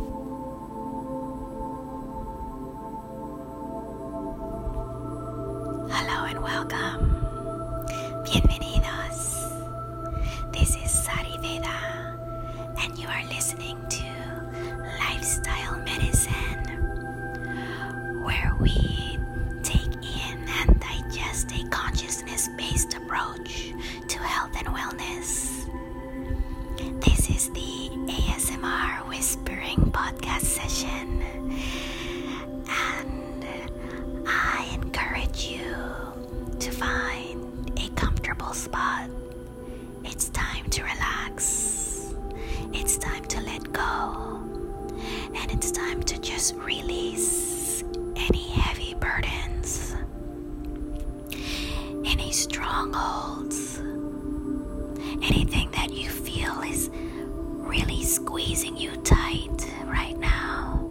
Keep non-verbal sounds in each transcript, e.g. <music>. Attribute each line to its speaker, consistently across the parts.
Speaker 1: Hello and welcome. Bienvenidos. This is Sari Veda, and you are listening to Lifestyle Medicine, where we take in and digest a consciousness based approach to health and wellness. This is the ASMR Whispering Podcast session, and I encourage you to find a comfortable spot. It's time to relax, it's time to let go, and it's time to just release any heavy burdens any strongholds, anything that you feel is really squeezing you tight right now,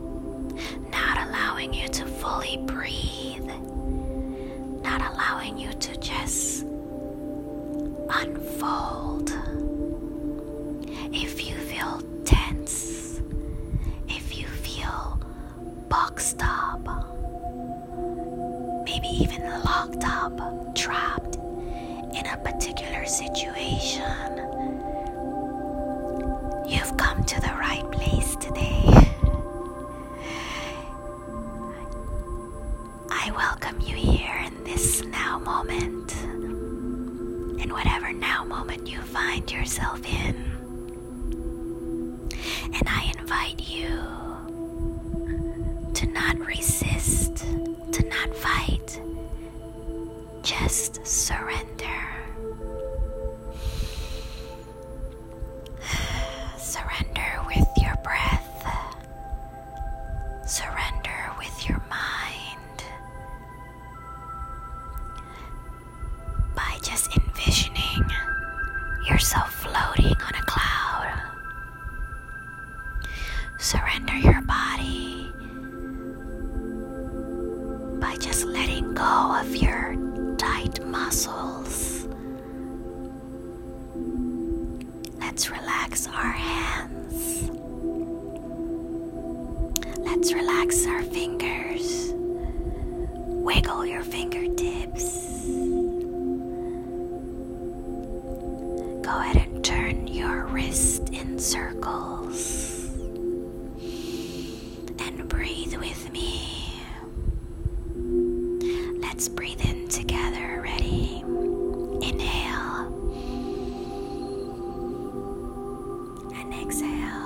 Speaker 1: not allowing you to fully breathe, not allowing you to just unfold. If you feel tense, if you feel boxed up, maybe even locked up, trapped in a particular situation. You've come to the right place today. I welcome you here in this now moment, in whatever now moment you find yourself in. And I invite you to not resist, to not fight, just surrender. <sighs> Surrender with your breath, surrender with your mind by just envisioning yourself floating on a cloud. Surrender your body by just letting go of your tight muscles. Let's relax our hands. Let's relax our fingers. Wiggle your fingertips. Go ahead and turn your wrist in circles and breathe with me. Let's breathe in together. Ready? Inhale and exhale.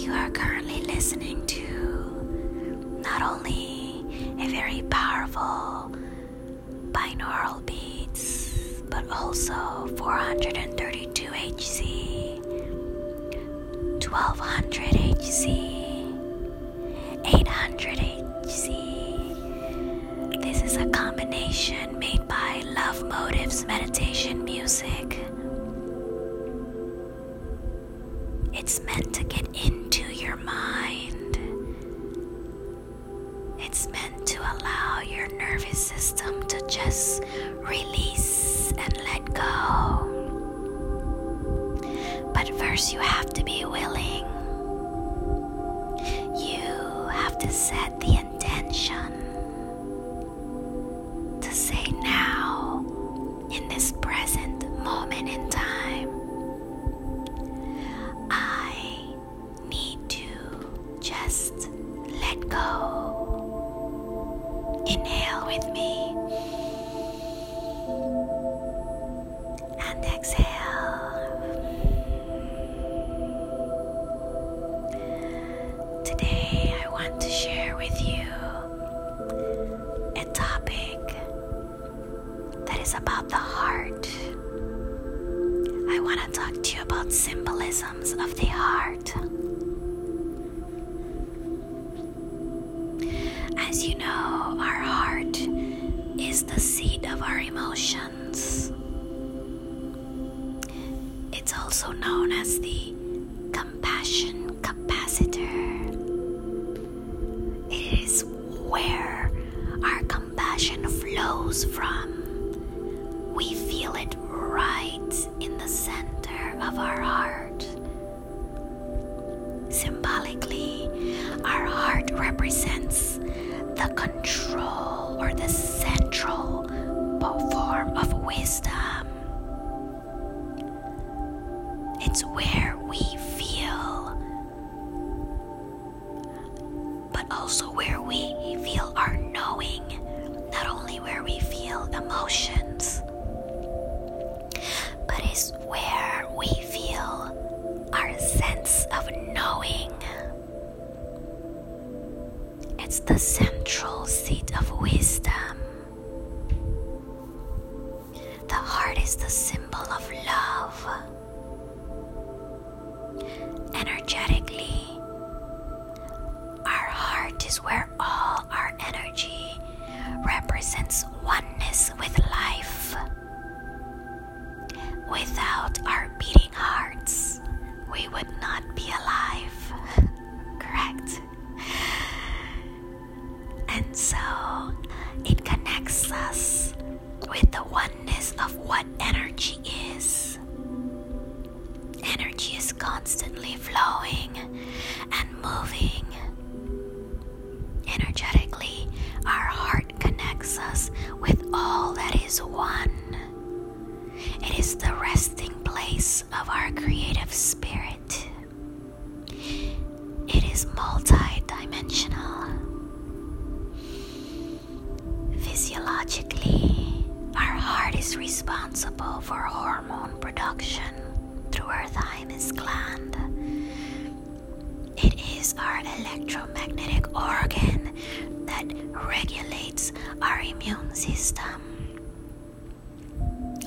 Speaker 1: You are currently listening to not only a very powerful binaural beats, but also 432 Hz, 1200 Hz, 800 Hz. This is a combination made by Love Motives Meditation Music. It's meant to get into your mind. It's meant to allow your nervous system to just release and let go. But first, you have to be willing. You have to set the intention to say now, in this present moment in time, I need to just let go. Inhale with me. And exhale. Today, I want to share with you a topic that is about the heart. I want to talk to you about symbolisms of the heart. As you know, our heart is the seat of our emotions. It's also known as the compassion capacitor. It is where our compassion flows from. We feel it right in the center of our heart. Symbolically, our heart represents the control or the central form of wisdom. It's where we feel, but also where we feel our knowing, not only where we feel emotions, but it's where we feel our sense of knowing. It's the central seat of wisdom. The heart is the symbol of love. Energetically, our heart is where all our energy represents oneness with life. Without our beating hearts, we would not be alive. <laughs> Correct? And so it connects us with the oneness of what energy is. Energy is constantly flowing and moving. Energetically, our heart connects us with all that is one. It is the resting place of our creative spirit. It is multidimensional. Physiologically, our heart is responsible for hormone production through our thymus gland. It is our electromagnetic organ that regulates our immune system.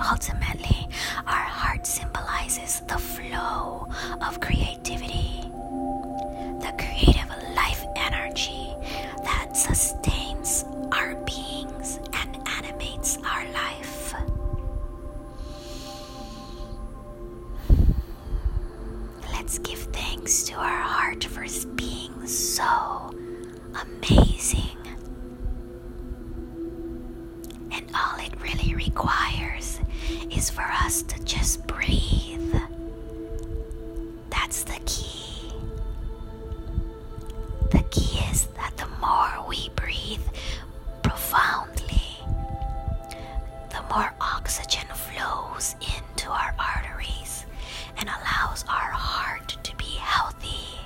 Speaker 1: Ultimately, our heart symbolizes the flow of creativity, the creative life energy that sustains our beings and animates our life. Let's give thanks to our heart for being so amazing. And all it really requires is for us to just breathe. That's the key. The key is that the more we breathe profoundly, the more oxygen flows into our arteries and allows our heart to be healthy.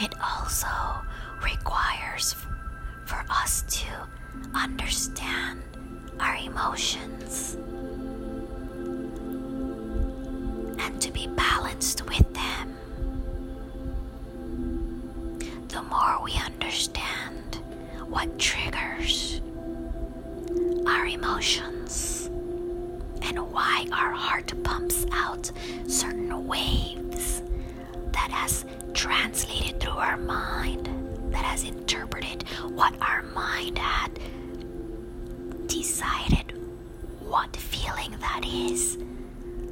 Speaker 1: It also requires for us to understand our emotions and to be balanced with them. The more we understand, what triggers our emotions and why our heart pumps out certain waves that has translated through our mind that has interpreted what our mind had decided what feeling that is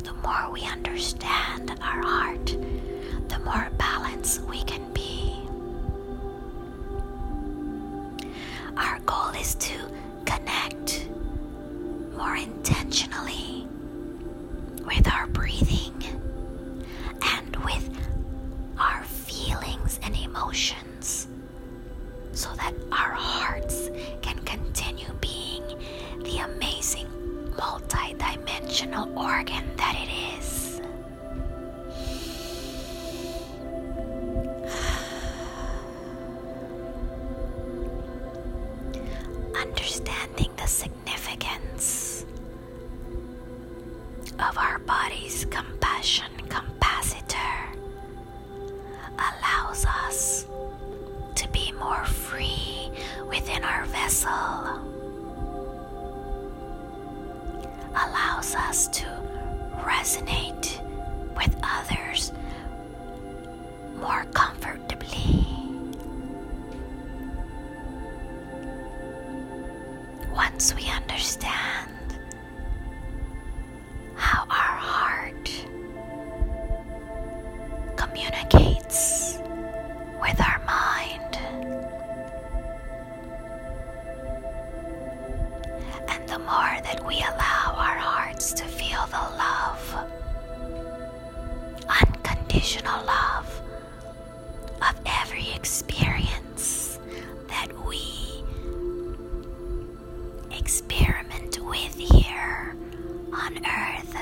Speaker 1: the more we understand our heart the more balance we can be. Our goal is to connect more intentionally with our breathing and with our feelings and emotions so that our hearts can continue being the amazing multidimensional organ that it is. Understanding the significance of our body's compassion capacitor allows us to be more free within our vessel allows us to resonate with others more comfortably. Once we understand how our heart communicates with our mind. And the more that we allow our hearts to feel the love, unconditional love of every experience that we experiment with here on earth.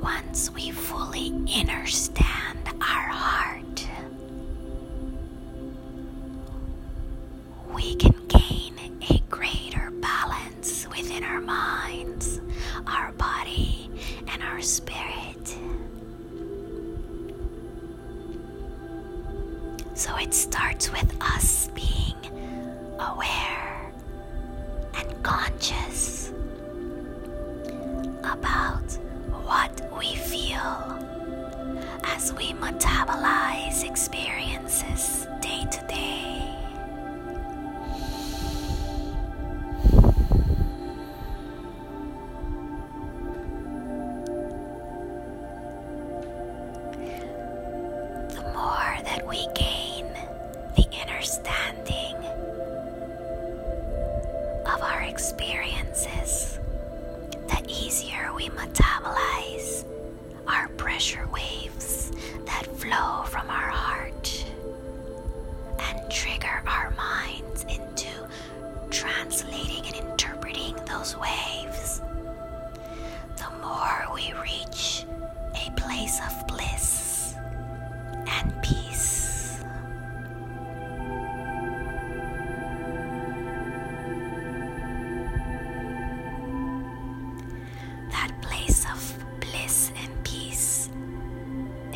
Speaker 1: Once we fully understand our heart, we can gain a greater balance within our minds, our body, and our spirit. So it starts with us being aware and conscious about what we feel as we metabolize experiences day to day. The more that we gain the inner standing of our experiences, the easier we metabolize our pressure waves that flow from our heart and trigger our minds into translating and interpreting those waves. The more we reach a place of bliss and peace. That place of bliss and peace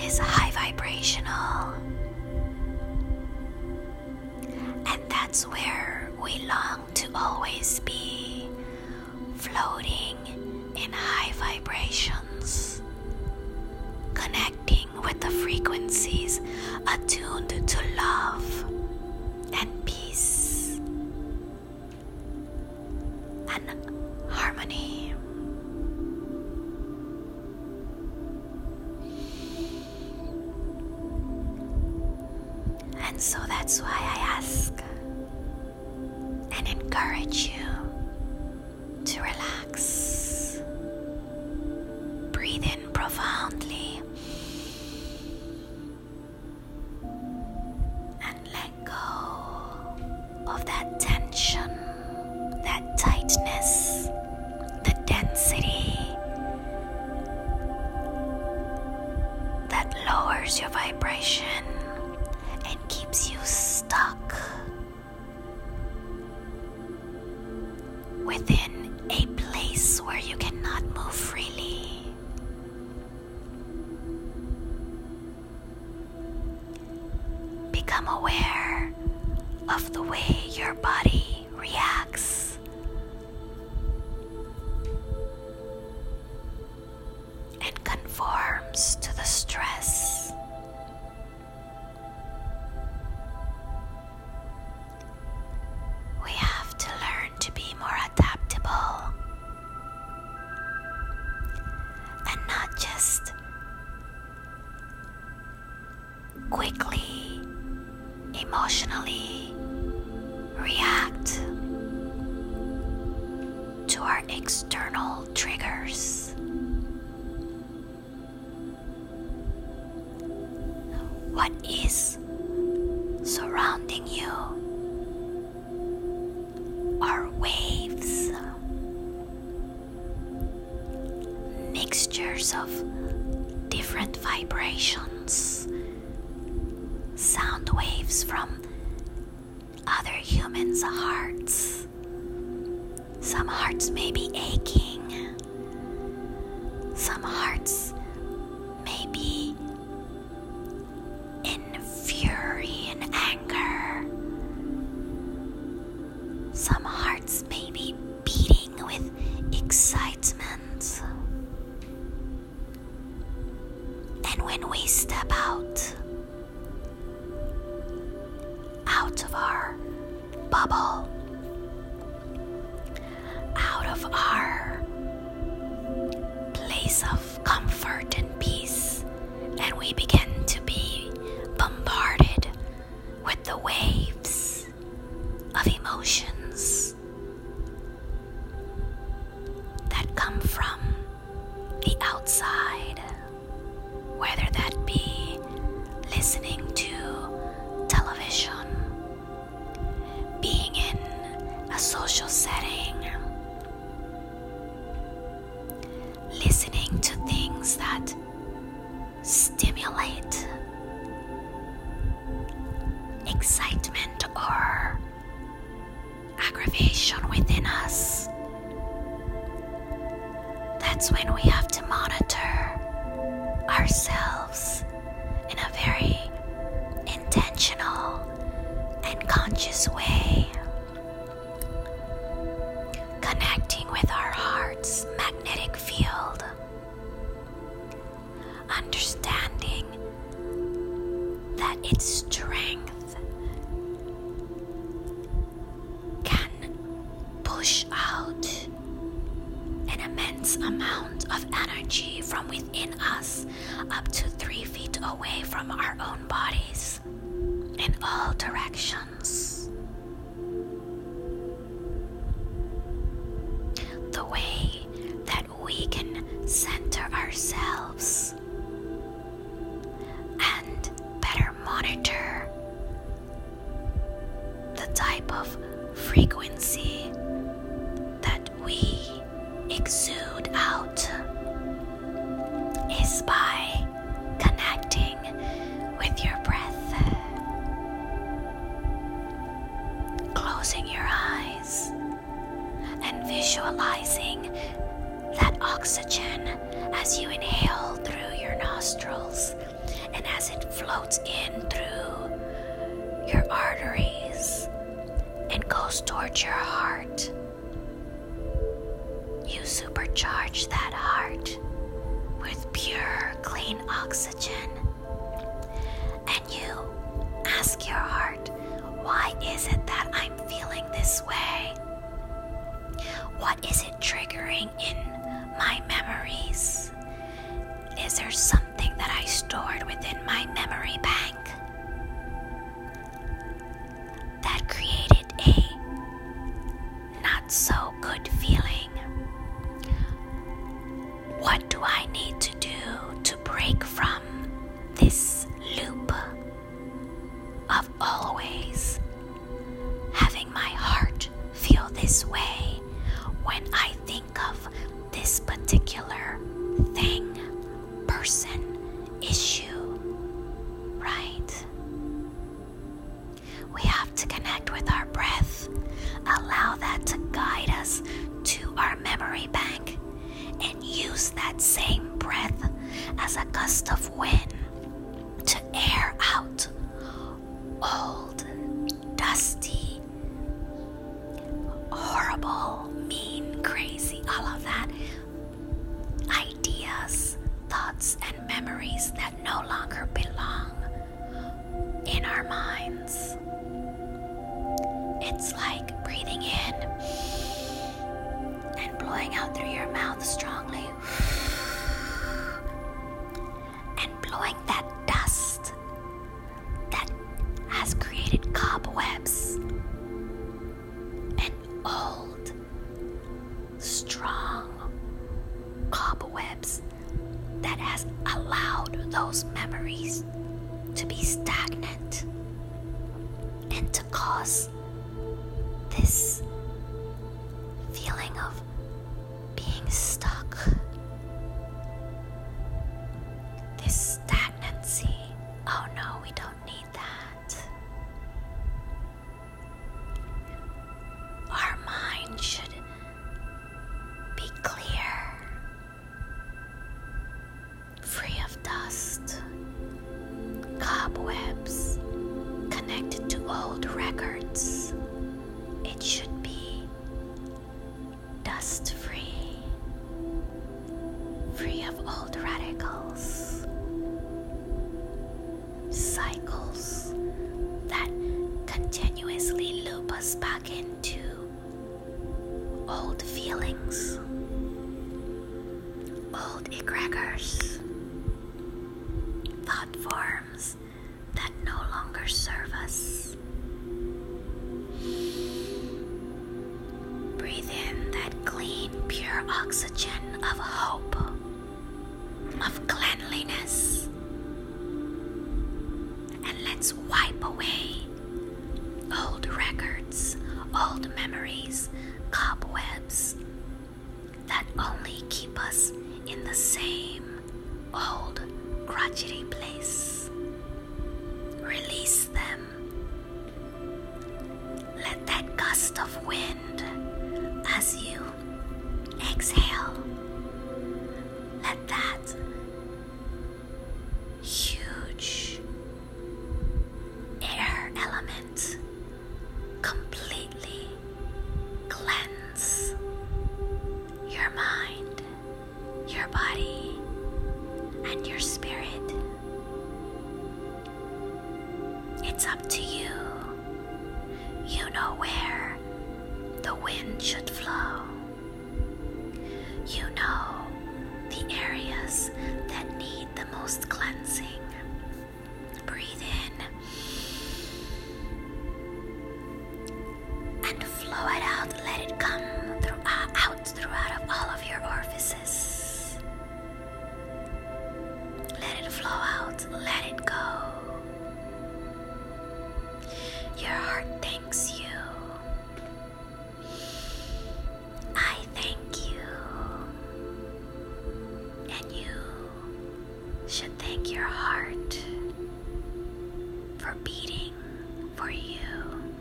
Speaker 1: is high vibrational, and that's where we long to always be floating in high vibrations, connecting with the frequencies attuned to love and peace and harmony. And so that's why I ask and encourage you to relax. Breathe in profoundly and let go of that tension, that tightness, the density that lowers your vibration keeps you stuck within a place where you cannot move freely. Become aware of the way your body reacts and conforms to the stress. We have to learn to be more adaptable and not just quickly, emotionally react to our external triggers. What is surrounding you are waves, mixtures of different vibrations, sound waves from other humans' hearts. Some hearts may be aching, some hearts may be in fury and anger, some hearts may be beating with excitement. And when we step out, out of our bubble, out of our place of comfort and peace, and we begin to be bombarded with the waves of emotions that come from the outside, whether that be listening to television, being in a social setting, listening to things that stimulate excitement or aggravation within us, that's when we have to monitor ourselves in a very intentional and conscious way, connecting with our heart's magnetic field, understanding that its strength hands can push out an immense amount of energy from within us up to three feet away from our own bodies in all directions. The way that we can center ourselves things and better monitor the type of frequency that we exude out is by connecting with your breath, closing your eyes and visualizing that oxygen as you inhale through your nostrils and as it floats in through your arteries and goes towards your heart. You supercharge that heart with pure, clean oxygen and you ask your heart why is it that I'm feeling this way? What is it triggering in my memories? Is there something that I stored within my memory bank that created a not so good feeling? What do I need to do to break from this loop? of always having my heart feel this way when I think of this particular thing, person, issue, right? We have to connect with our breath, allow that to guide us to our memory bank and use that same breath as a gust of wind to air out old, dusty, horrible, mean, crazy, all of that ideas, thoughts, and memories that no longer belong in our minds. It's like breathing in and blowing out through your mouth strongly. And blowing that dust that has created cobwebs and old, strong cobwebs that has allowed those memories to be stagnant and cause this feeling of being stuck, this stagnancy. Oh no, we don't need that. Our mind should be clear free of dust, cobwebs, connected to old records. It should be dust free, free of old radicals, cycles that continuously loop us back into old feelings old egregors, thought forms that no longer serve us. Breathe in that clean, pure oxygen of hope, of cleanliness, and let's wipe away Old records, old memories, cobwebs that only keep us in the same old craggy place. Release them. Let that gust of wind as you exhale, let that huge air element completely cleanse your mind, your body, and your spirit. It's up to you. You know where the wind should flow. You know the areas that need the most cleansing. Breathe in and flow it out. Let it come uh, out throughout of all of your orifices. Let it flow out. Let it go. Your heart thanks you. I thank you, and you should thank your heart for beating for you,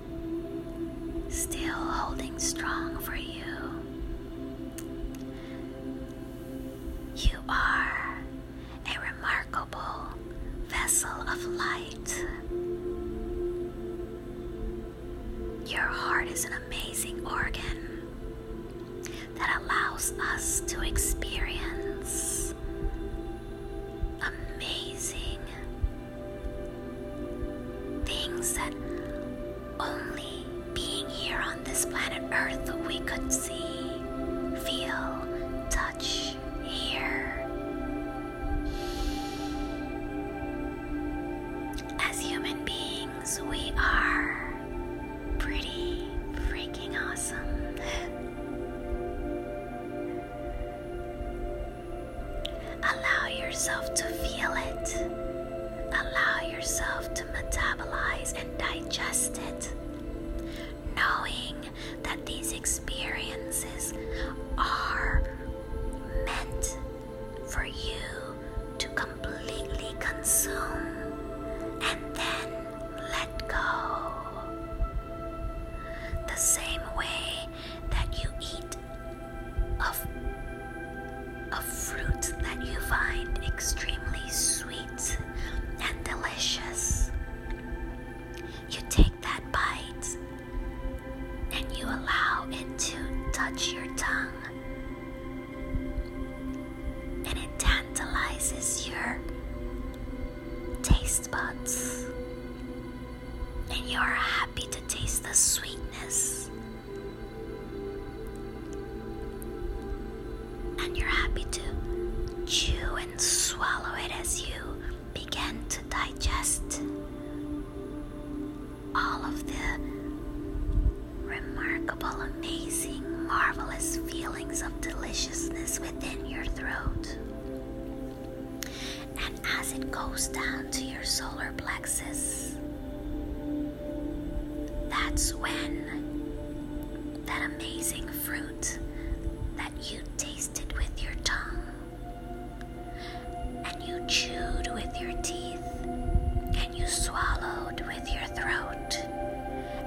Speaker 1: still holding strong for you. You are a remarkable vessel of light. Your heart is an amazing organ that allows us to experience amazing things that only being here on this planet Earth we could see, feel, touch, hear, as human beings, we are pretty freaking awesome. <laughs> Allow yourself to feel it. Allow yourself to metabolize and digest it, knowing that these experiences are meant for you to completely consume and then let go. The same way that you eat of a fruit that you find extremely sweet and delicious. You take that bite and you allow it to touch your tongue and it tantalizes your taste buds and you're happy to taste the sweetness and you're happy to chew and swallow it as you began to digest all of the remarkable, amazing, marvelous feelings of deliciousness within your throat. And as it goes down to your solar plexus, that's when that amazing fruit that you tasted with your tongue and you chewed with your teeth, and you swallowed with your throat,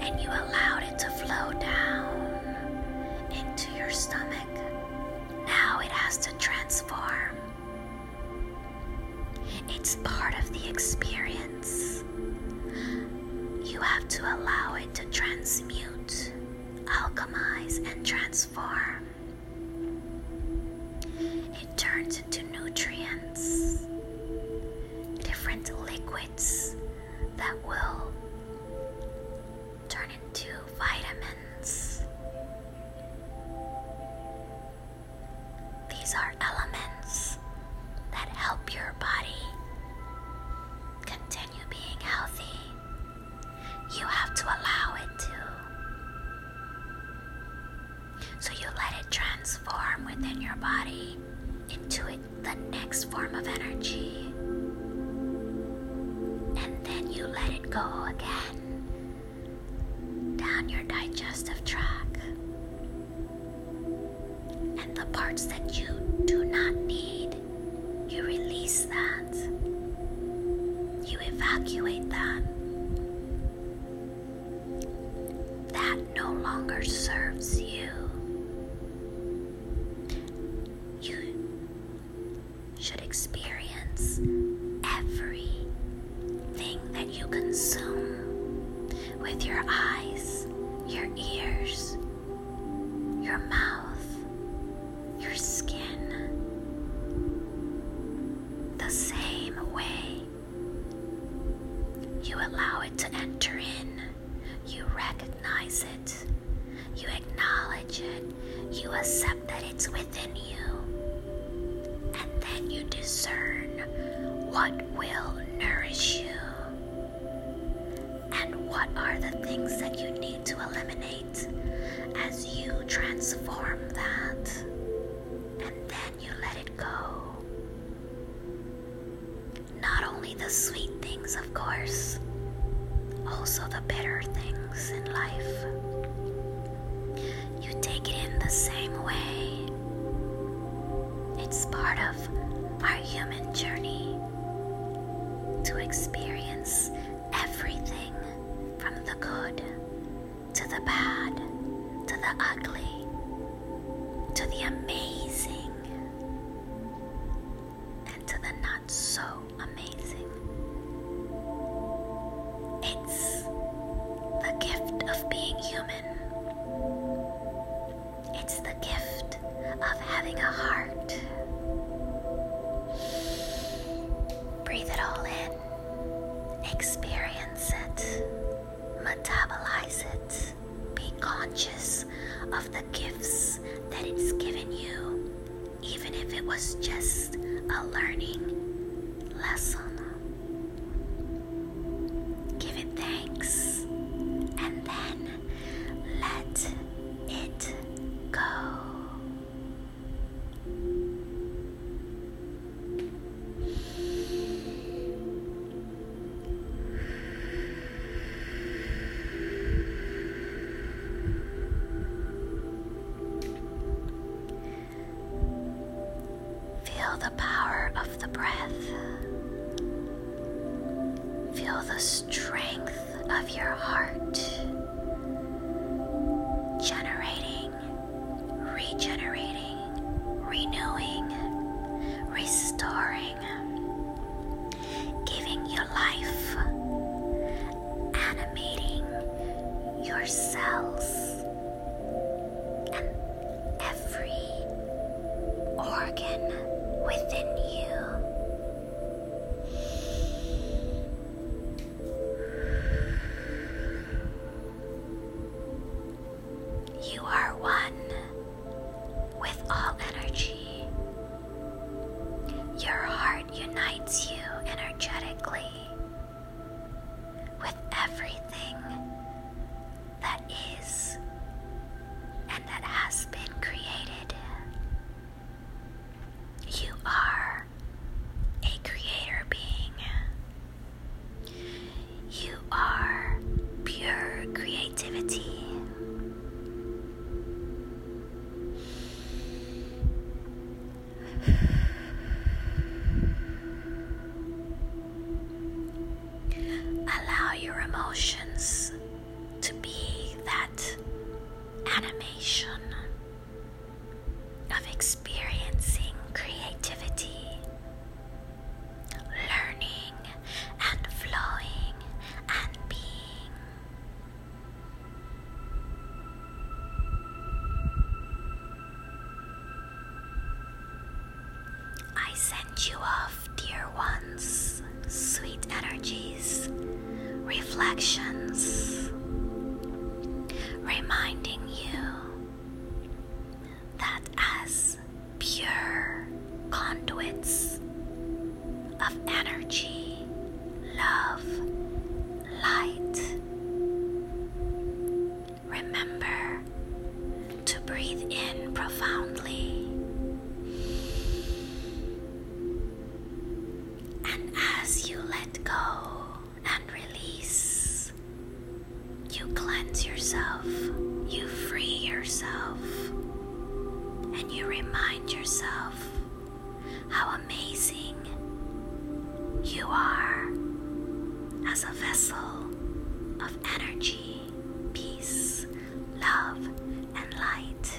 Speaker 1: and you allowed it to flow down into your stomach. Now it has to transform. It's part of the experience. You have to allow it to transmute, alchemize, and transform. It turns into nutrients, different liquids that will turn into vitamins. These are elements that help your body continue being healthy you have to allow it to. So you let it transform within your body into the next form of energy. And then you let it go again down your digestive tract. And the parts that you do not need, you release them. You evacuate that. That no longer serves you. You should experience every thing that you consume with your eyes, your ears, your mouth, your skin the same way. You allow it to enter in, you recognize it, you acknowledge it, you accept that it's within you, and then you discern what will nourish you and what are the things that you need to eliminate as you transform that and then you let it go. Not only the sweet things, of course, also the bitter things in life. You take it in the same way. It's part of our human journey to experience everything from the good to the bad to the ugly to the amazing and to the not so amazing. It's the gift of being human. It's the gift of having a heart. Breathe it all in. Experience it. Metabolize it. Be conscious of the gifts that it's given you, even if it was just a learning lesson. Give it thanks and then let it go. Feel the power of the breath. Feel the strength of your heart, generating, regenerating, renewing, restoring, giving your life, animating your cells and every organ within you. You are one with all energy. Your heart unites you energetically with everything that is and that has been created. You are a creator being. You are pure creativity. Allow your emotions to be that animation of experiencing creativity, learning and flowing and being. I send you off, dear ones, sweet energies reflections, reminding you that as pure conduits of energy, love, light, remember to breathe in profoundly. And as you let go and release, you cleanse yourself, you free yourself, and you remind yourself how amazing you are as a vessel of energy, peace, love, and light.